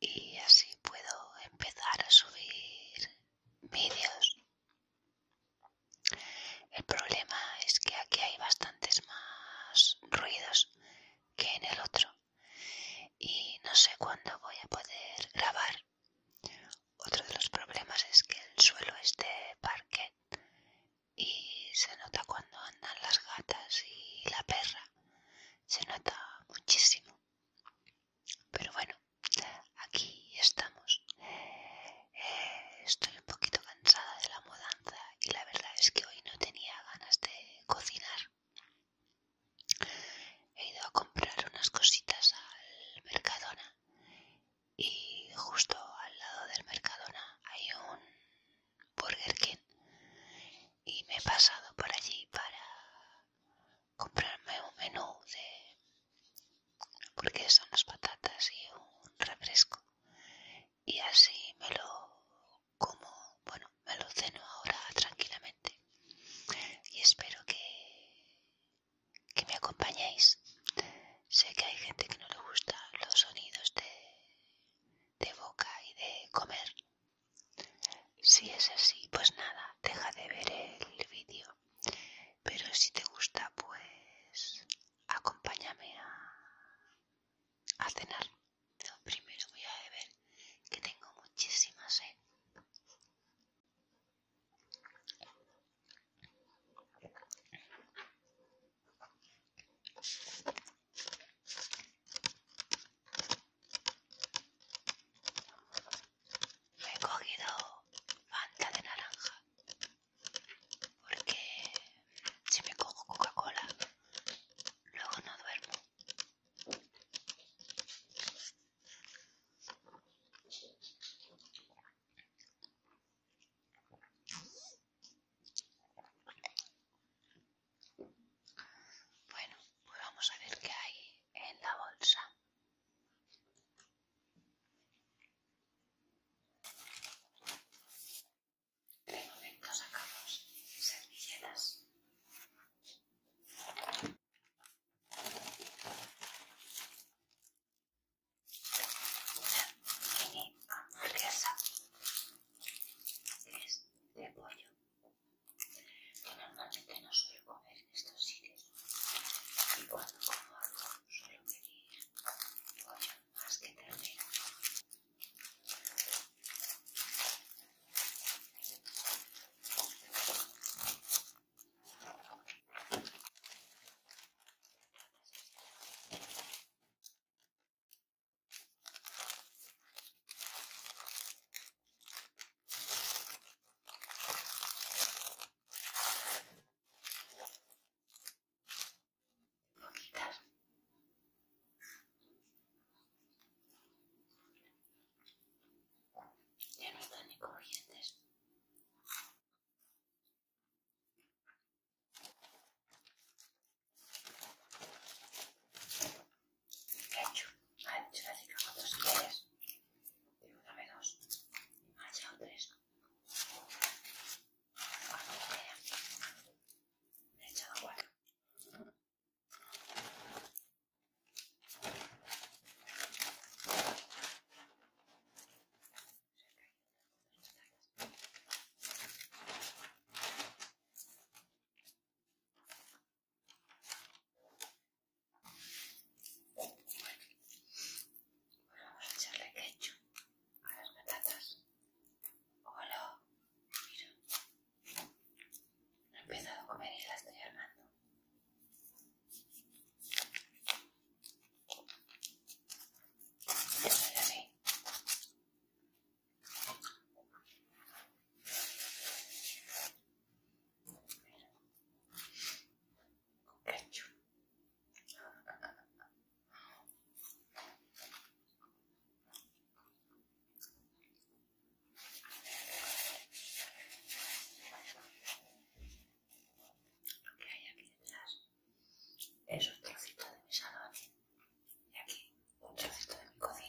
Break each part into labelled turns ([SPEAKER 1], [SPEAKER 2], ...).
[SPEAKER 1] y así puedo empezar a subir vídeos el problema es que aquí hay bastantes más ruidos que en el otro y no sé cuándo voy a poder grabar otro de los problemas es que el suelo es de parquet y se nota cuando andan las gatas y la perra se nota muchísimo pero bueno aquí estamos eh, estoy un poquito cansada de la mudanza y la verdad es que hoy no tenía ganas de cocinar he ido a comprar unas cositas al mercadona y justo al lado del mercadona hay un Burger King y me he pasado por allí para comprarme un menú de porque son las patatas y un refresco y así me lo como bueno me lo ceno ahora tranquilamente y espero que que me acompañéis sé que hay gente que no le gusta los sonidos de de boca y de comer si es así, pues nada, deja de ver el vídeo. Pero si te gusta, pues acompáñame a, cenar. primero voy a beber, que tengo muchísima sed. ¿eh? Me he cogido Fanta de naranja porque si me cojo Coca-Cola luego no duermo. Bueno, pues vamos a ver qué hay en la bolsa. De momento sacamos servilletas. Una mini es de pollo. que normalmente no suelo comer en estos sitios y cuando como algo suelo pedir pollo más que ternera. Voy Ya no están ni corrientes. Ketchup, hecho la chica, ¿cuántos quieres? Tiene una vez dos, ha ah, echado tres. cuatro, he echado cuatro. Bueno, vamos a echarle ketchup a las patatas. Hola, mira. No he empezado a comer y la estoy armando. Lo que hay aquí detrás esos trocitos de mi salón. Y aquí otra de cocina.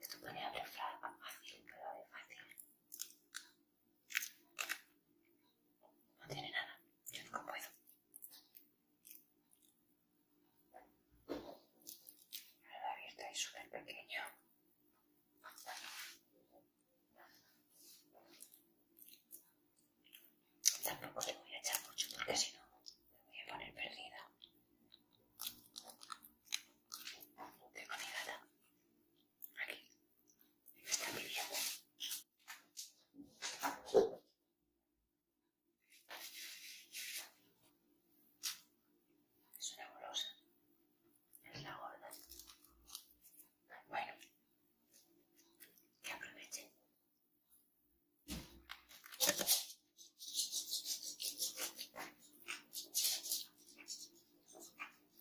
[SPEAKER 1] esto podría abrir fácil, pero de fácil. No tiene nada, yo nunca puedo. La abierto es súper pequeña. Tampoco le voy a echar mucho porque si no me voy a poner perdida. Tengo mi aquí, está brillando. Es una bolosa. Es la gorda. Bueno, que aprovechen.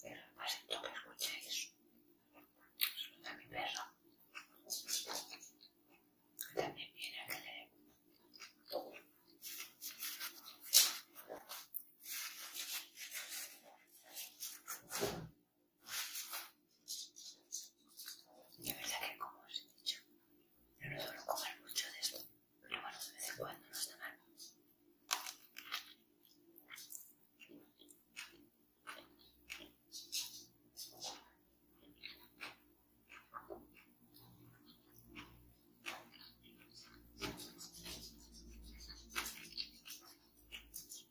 [SPEAKER 1] Pero todo que escucháis. Saluda a mi perro. También viene a que de verdad que, como os he dicho, yo no suelo comer mucho de esto, pero bueno, de vez en cuando no está mal.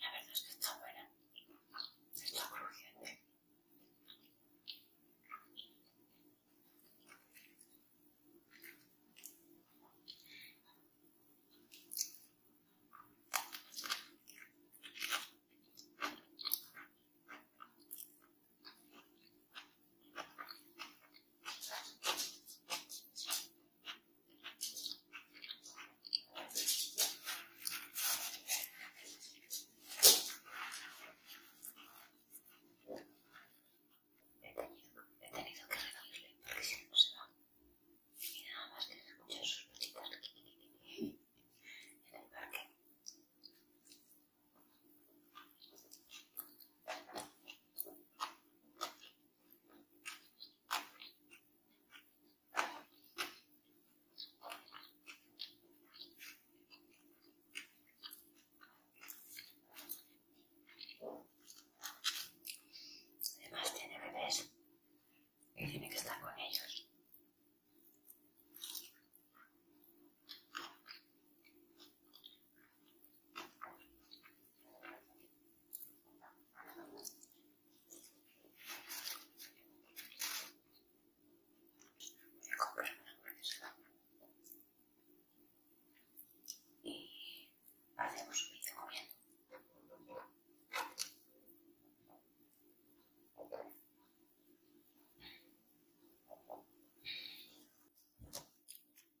[SPEAKER 1] La verdad es que está buena. Está crujiente. He tenido, que reducirle porque si no se va. Y nada más que escuchar sus en el parque. Además tiene bebés y tiene que estar con ellos y hacemos un vídeo comiendo.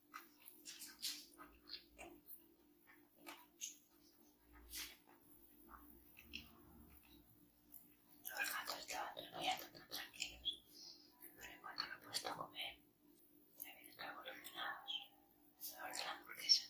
[SPEAKER 1] Los gatos estaban durmiendo tan tranquilos, pero en cuanto lo he puesto a comer, Se ven revolucionados. Ahora es la hamburguesa.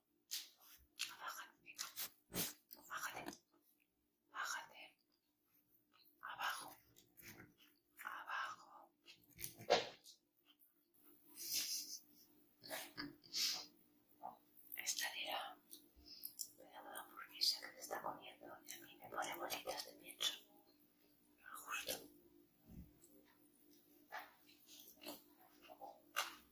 [SPEAKER 1] Bájate, venga. Bájate. Bájate. Abajo. Abajo. Esta me da la hamburguesa que se está comiendo y a mí me pone bolitas de pienso. Justo.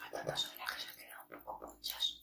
[SPEAKER 1] Hay tantas ollas que se quedan un poco conchas.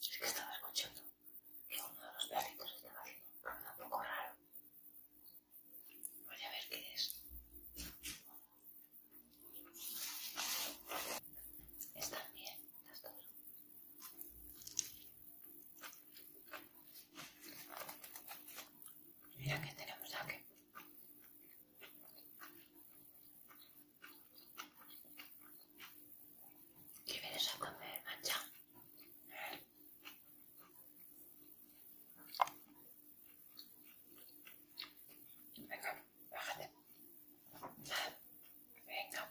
[SPEAKER 1] Es que estaba escuchando que uno de los perritos estaba haciendo un ruido un poco raro. Voy a ver qué es. Están bien, las dos. Mira que tenemos aquí. ¿Qué vienes a comer, mancha? Venga, bájate. Venga.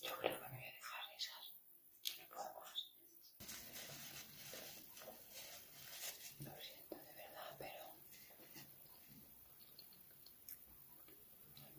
[SPEAKER 1] Yo creo que me voy a dejar de No Lo siento de verdad, pero no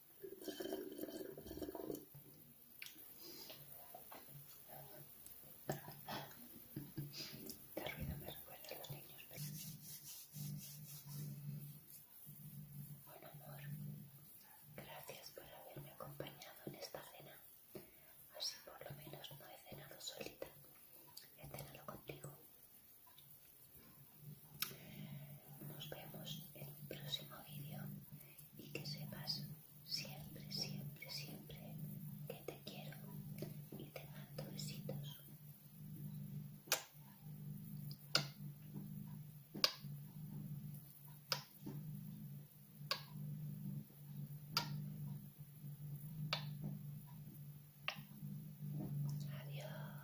[SPEAKER 1] El este me los niños amor, gracias por haberme acompañado en esta cena. Así por lo menos no he cenado solita. He cenado contigo. Nos vemos en el próximo vídeo y que sepas siempre, siempre, siempre que te quiero y te mando besitos. Adiós.